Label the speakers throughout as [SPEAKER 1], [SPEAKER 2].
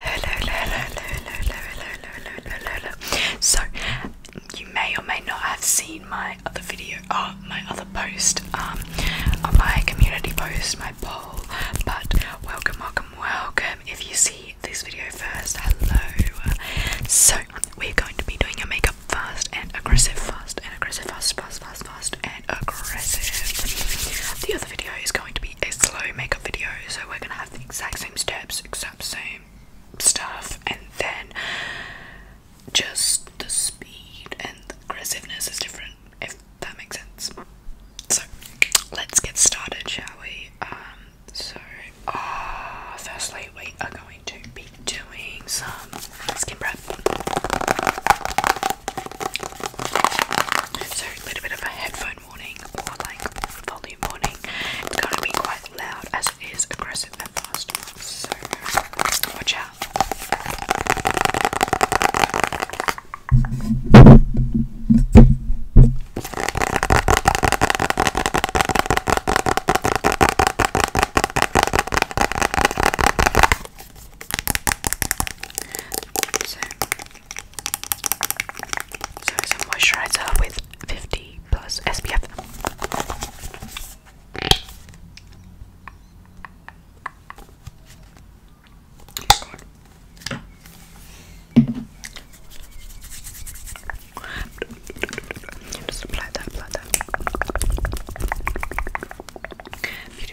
[SPEAKER 1] Hello, hello, hello, hello, hello, hello, hello, hello, hello. So, you may or may not have seen my other video, uh, my other post, um, on uh, my community post, my poll, but welcome, welcome, welcome if you see this video first. Hello. So, we're going to be doing your makeup fast and aggressive, fast and aggressive, fast, fast, fast, and aggressive. The other video is gone going to be a slow makeup video, so we're gonna have the exact same steps, exact same stuff, and then just the speed and aggressiveness is different, if that makes sense. So let's get started, shall we? Um, so, ah, firstly, we are going to be doing some skin prep. So a little bit of a headphone warning or like volume warning. It's going to be quite loud as it is aggressive and fast. So watch out. So, it's a moisturizer with 50 plus SPF. Just apply that, apply that.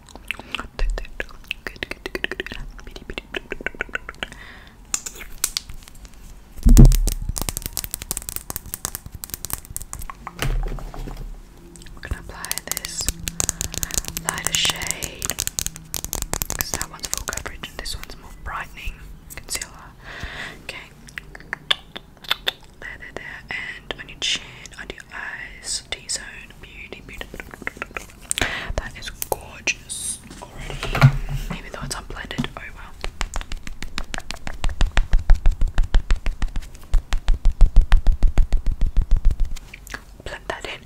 [SPEAKER 1] Good, good, We're gonna apply this lighter shade because that one's full coverage and this one's more brightening concealer. Okay. There, there, there, and on your chin, on your eyes, T-zone, that is gorgeous already, even though it's unblended. Oh well. Blend that in.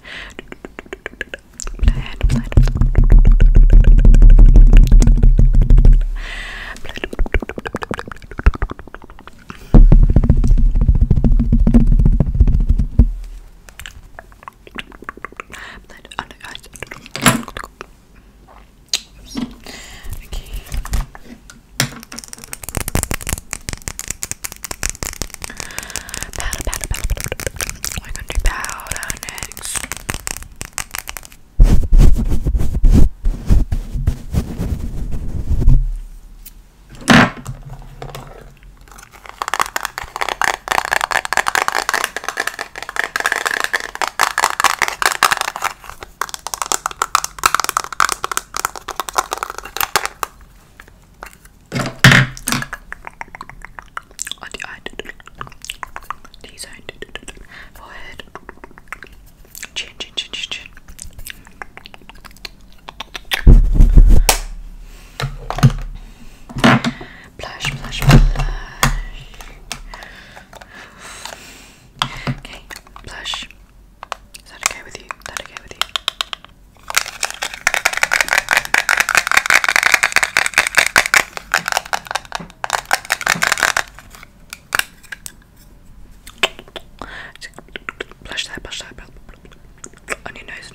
[SPEAKER 1] Blood under eyes. Okay. Powder, powder, powder, powder. We're gonna do powder next. On the eye, T-zone, forehead, Chin, chin, chin, chin, chin. Blush, blush, blush. Okay, blush. Is that okay with you? Is that okay with you? Just blush that, blush that, on your nose.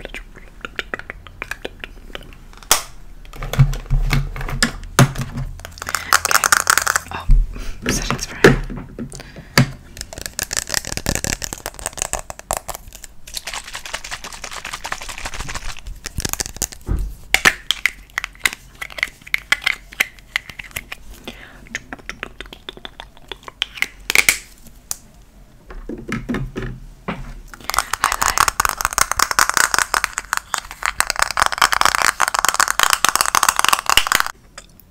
[SPEAKER 1] Okay. Oh, setting spray.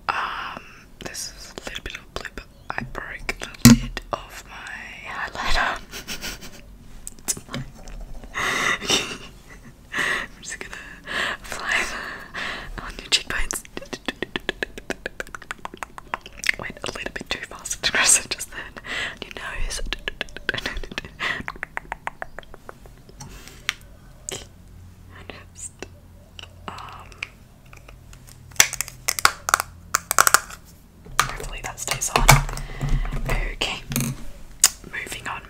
[SPEAKER 1] Um, this is a little bit of blue I broke the lid of my highlighter. it's fine. I'm just gonna apply that on your cheekbones. Went a little bit too fast just then. Your nose. Um, Hopefully that stays on. Okay, moving on.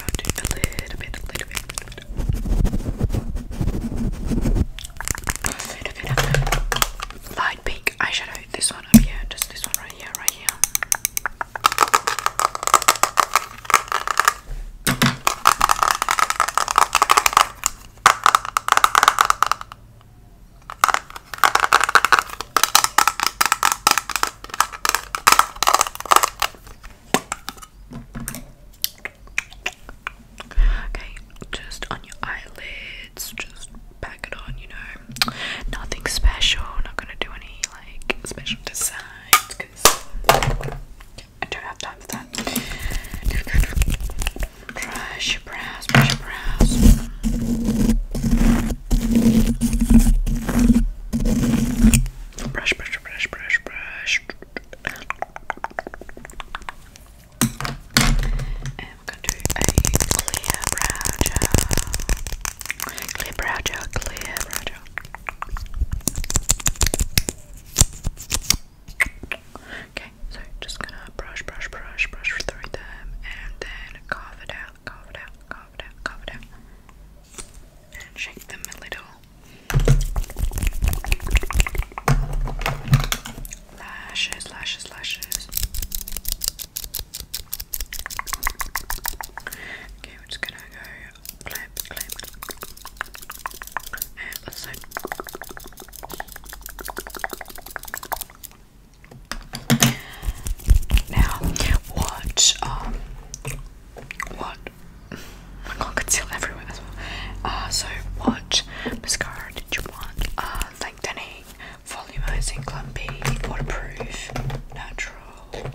[SPEAKER 1] a little bit, little bit, little bit. little bit light pink eyeshadow. This one up here, just this one right here, right here. Okay, just on your eyelids, just pack it on, you know. Nothing special, not gonna do any like special designs I don't have time for that. Brush your brows, brush your brows. Brush, brush, brush, brush, brush. And we're going to do a clear brow gel. Clear brow gel, clear brow gel. Okay, so just gonna brush, brush, brush, brush through them and then carve it out, carve it out, carve it out, carve it out. And shake them a little. Lashes, lashes, lashes. Okay, we're just gonna go uh, now, what, um, what, I can't everywhere as well. Uh, so, what mascara did you want? Uh, lengthening, volumizing, clumpy, waterproof, natural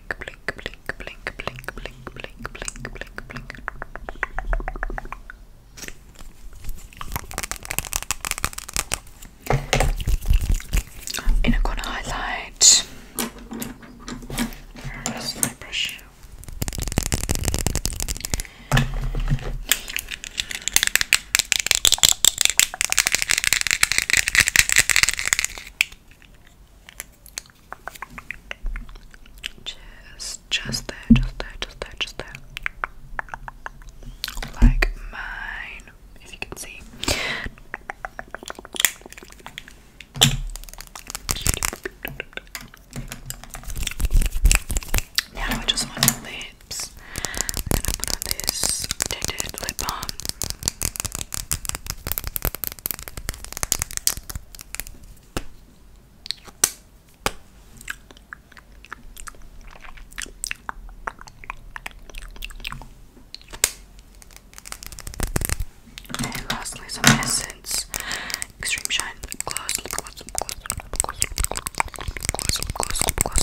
[SPEAKER 1] blink, blink, Inner corner highlight. Where is my brush? Just, just there, just there, just there, just there. Like mine, if you can see. Now I just want lips. I'm gonna put on this tinted lip balm. And lastly, some essence, extreme shine, lip gloss, lip gloss, lip gloss, lip gloss, lip gloss, lip gloss, lip gloss.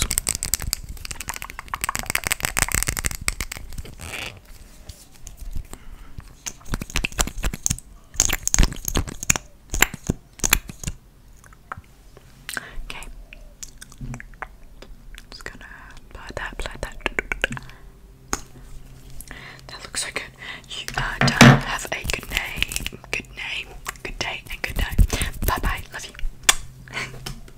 [SPEAKER 1] Okay. Just gonna apply that, apply that. That looks so good. Have a good name, good name, good day, and good night. Bye bye. Love you.